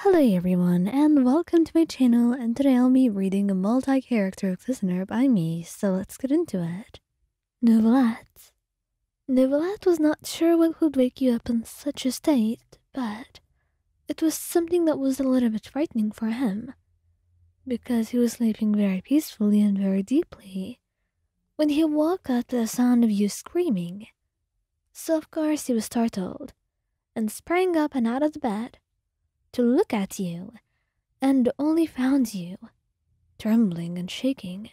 Hello everyone and welcome to my channel and today I'll be reading a multi-character listener by me, so let's get into it. Novelette Novelette was not sure what could wake you up in such a state, but it was something that was a little bit frightening for him, because he was sleeping very peacefully and very deeply, when he woke at the sound of you screaming. So, of course, he was startled and sprang up and out of the bed to look at you and only found you trembling and shaking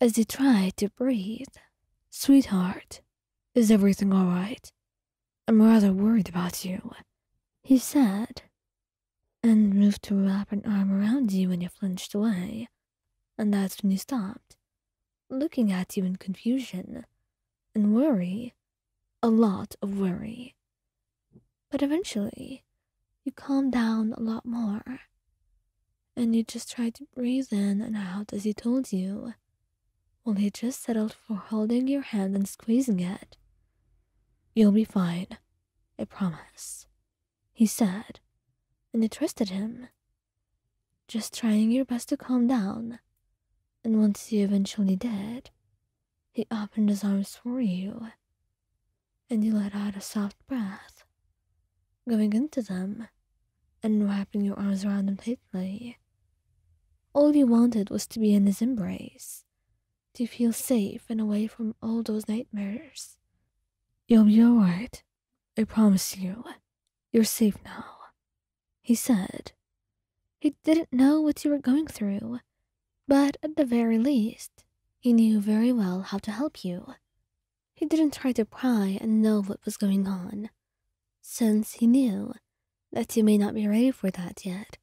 as you tried to breathe. Sweetheart, is everything all right? I'm rather worried about you, he said, and moved to wrap an arm around you when you flinched away and that's when you stopped, looking at you in confusion and worry, a lot of worry. But eventually, you calmed down a lot more, and you just tried to breathe in and out as he told you, while he just settled for holding your hand and squeezing it. You'll be fine, I promise, he said, and you trusted him just trying your best to calm down. And once you eventually did, he opened his arms for you. And you let out a soft breath, going into them and wrapping your arms around him tightly. All you wanted was to be in his embrace, to feel safe and away from all those nightmares. You'll be alright, I promise you, you're safe now, he said. He didn't know what you were going through, but at the very least, he knew very well how to help you. He didn't try to pry and know what was going on, since he knew that you may not be ready for that yet,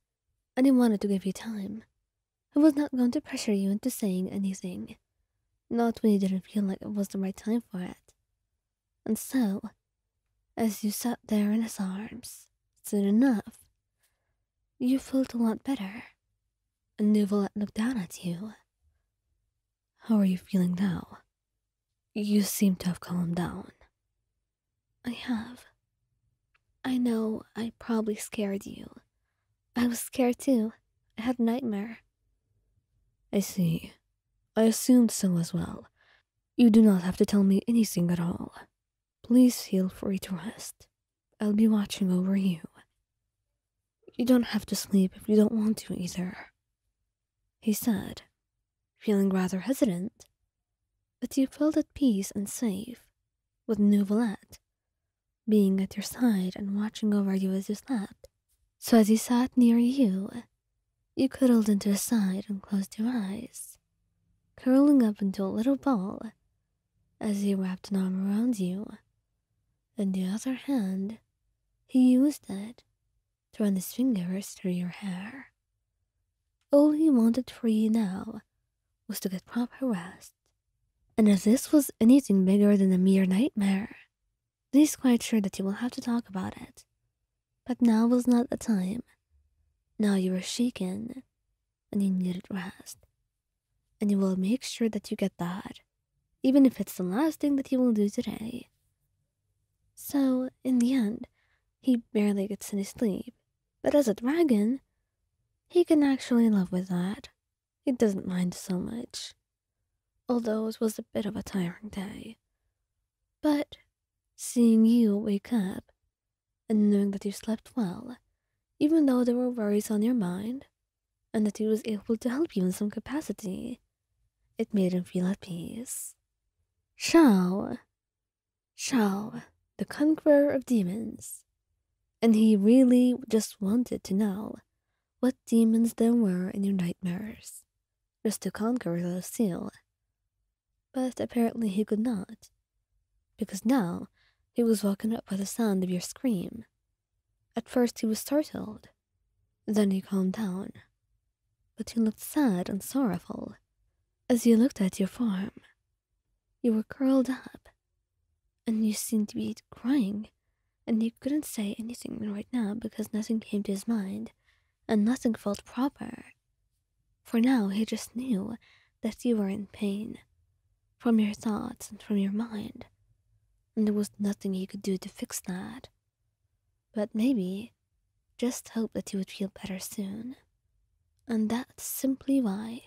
and he wanted to give you time. He was not going to pressure you into saying anything. Not when you didn't feel like it was the right time for it. And so, as you sat there in his arms, soon enough, you felt a lot better. And Nuvalet looked down at you. How are you feeling now? You seem to have calmed down. I have. I know I probably scared you, I was scared too. I had a nightmare. I see. I assumed so as well. You do not have to tell me anything at all. Please feel free to rest. I'll be watching over you. You don't have to sleep if you don't want to either. He said, feeling rather hesitant. But you felt at peace and safe with Nouvelette being at your side and watching over you as you slept. So as he sat near you, you cuddled into his side and closed your eyes, curling up into a little ball as he wrapped an arm around you. In the other hand, he used it to run his fingers through your hair. All he wanted for you now was to get proper rest and if this was anything bigger than a mere nightmare, he is quite sure that you will have to talk about it. But now was not the time. Now you are shaken, and you need rest. And you will make sure that you get that, even if it's the last thing that you will do today. So, in the end, he barely gets any sleep. But as a dragon, he can actually live with that. He doesn't mind so much. Although it was a bit of a tiring day. But seeing you wake up and knowing that you slept well, even though there were worries on your mind, and that he was able to help you in some capacity, it made him feel at peace. Shao, Shao, the conqueror of demons. And he really just wanted to know what demons there were in your nightmares, just to conquer the seal. But apparently he could not, because now he was woken up by the sound of your scream. At first he was startled, then he calmed down, but he looked sad and sorrowful as he looked at your form. You were curled up, and you seemed to be crying, and he couldn't say anything right now because nothing came to his mind, and nothing felt proper. For now he just knew that you were in pain, from your thoughts and from your mind, and there was nothing he could do to fix that. But maybe just hoped that you would feel better soon. And that's simply why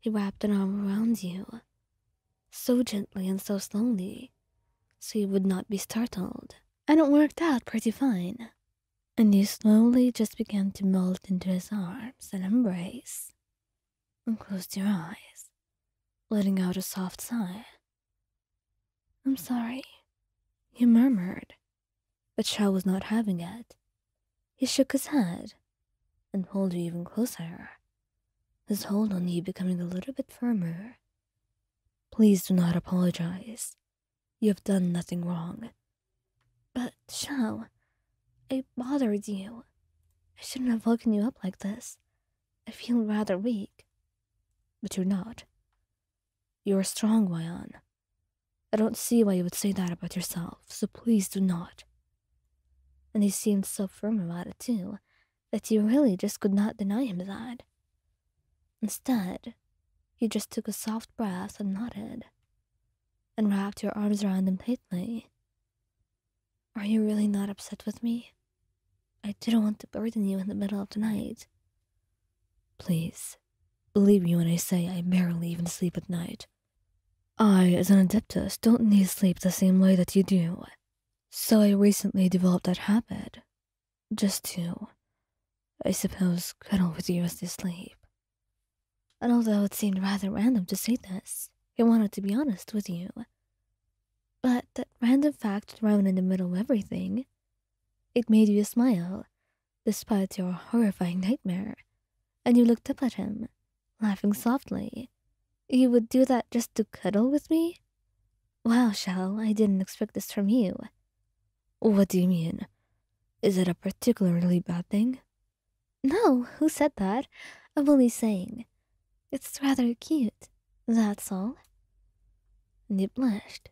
he wrapped an arm around you, so gently and so slowly, so you would not be startled. And it worked out pretty fine. And you slowly just began to melt into his arms and embrace, and closed your eyes, letting out a soft sigh. I'm sorry, you murmured but Shao was not having it. He shook his head and pulled her even closer, his hold on you becoming a little bit firmer. Please do not apologize. You have done nothing wrong. But, Shao, I bothered you. I shouldn't have woken you up like this. I feel rather weak. But you're not. You're strong, Wyon. I don't see why you would say that about yourself, so please do not. And he seemed so firm about it, too, that you really just could not deny him that. Instead, you just took a soft breath and nodded, and wrapped your arms around him tightly. Are you really not upset with me? I didn't want to burden you in the middle of the night. Please, Believe me when I say I barely even sleep at night. I, as an adeptus, don't need sleep the same way that you do. So I recently developed that habit. Just to, I suppose, cuddle with you as you sleep. And although it seemed rather random to say this, I wanted to be honest with you. But that random fact thrown in the middle of everything it made you smile, despite your horrifying nightmare, and you looked up at him, laughing softly. You would do that just to cuddle with me? Well, Shell, I didn't expect this from you. What do you mean? Is it a particularly bad thing? No, who said that? I'm only saying. It's rather cute. That's all? Nip blushed,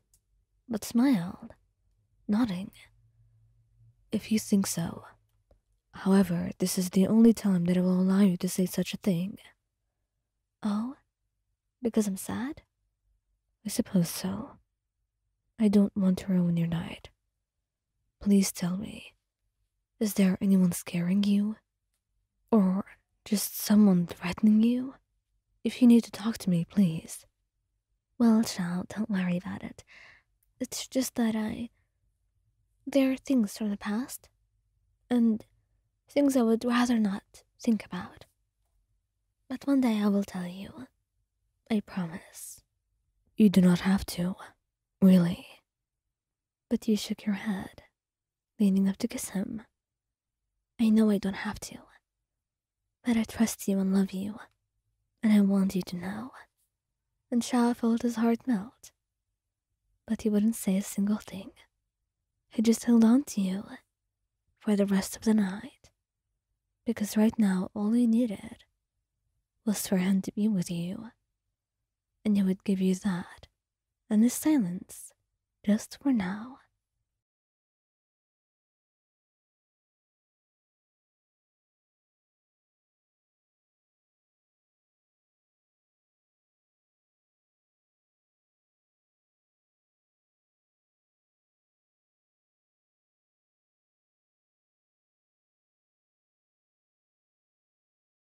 but smiled, nodding. If you think so. However, this is the only time that I will allow you to say such a thing. Oh? Because I'm sad? I suppose so. I don't want to ruin your night. Please tell me, is there anyone scaring you? Or just someone threatening you? If you need to talk to me, please. Well, child, don't worry about it. It's just that I. There are things from the past, and things I would rather not think about. But one day I will tell you. I promise. You do not have to, really but you shook your head, leaning up to kiss him. I know I don't have to, but I trust you and love you, and I want you to know. And Shao felt his heart melt, but he wouldn't say a single thing. He just held on to you for the rest of the night, because right now all he needed was for him to be with you and it would give you that and the silence just for now.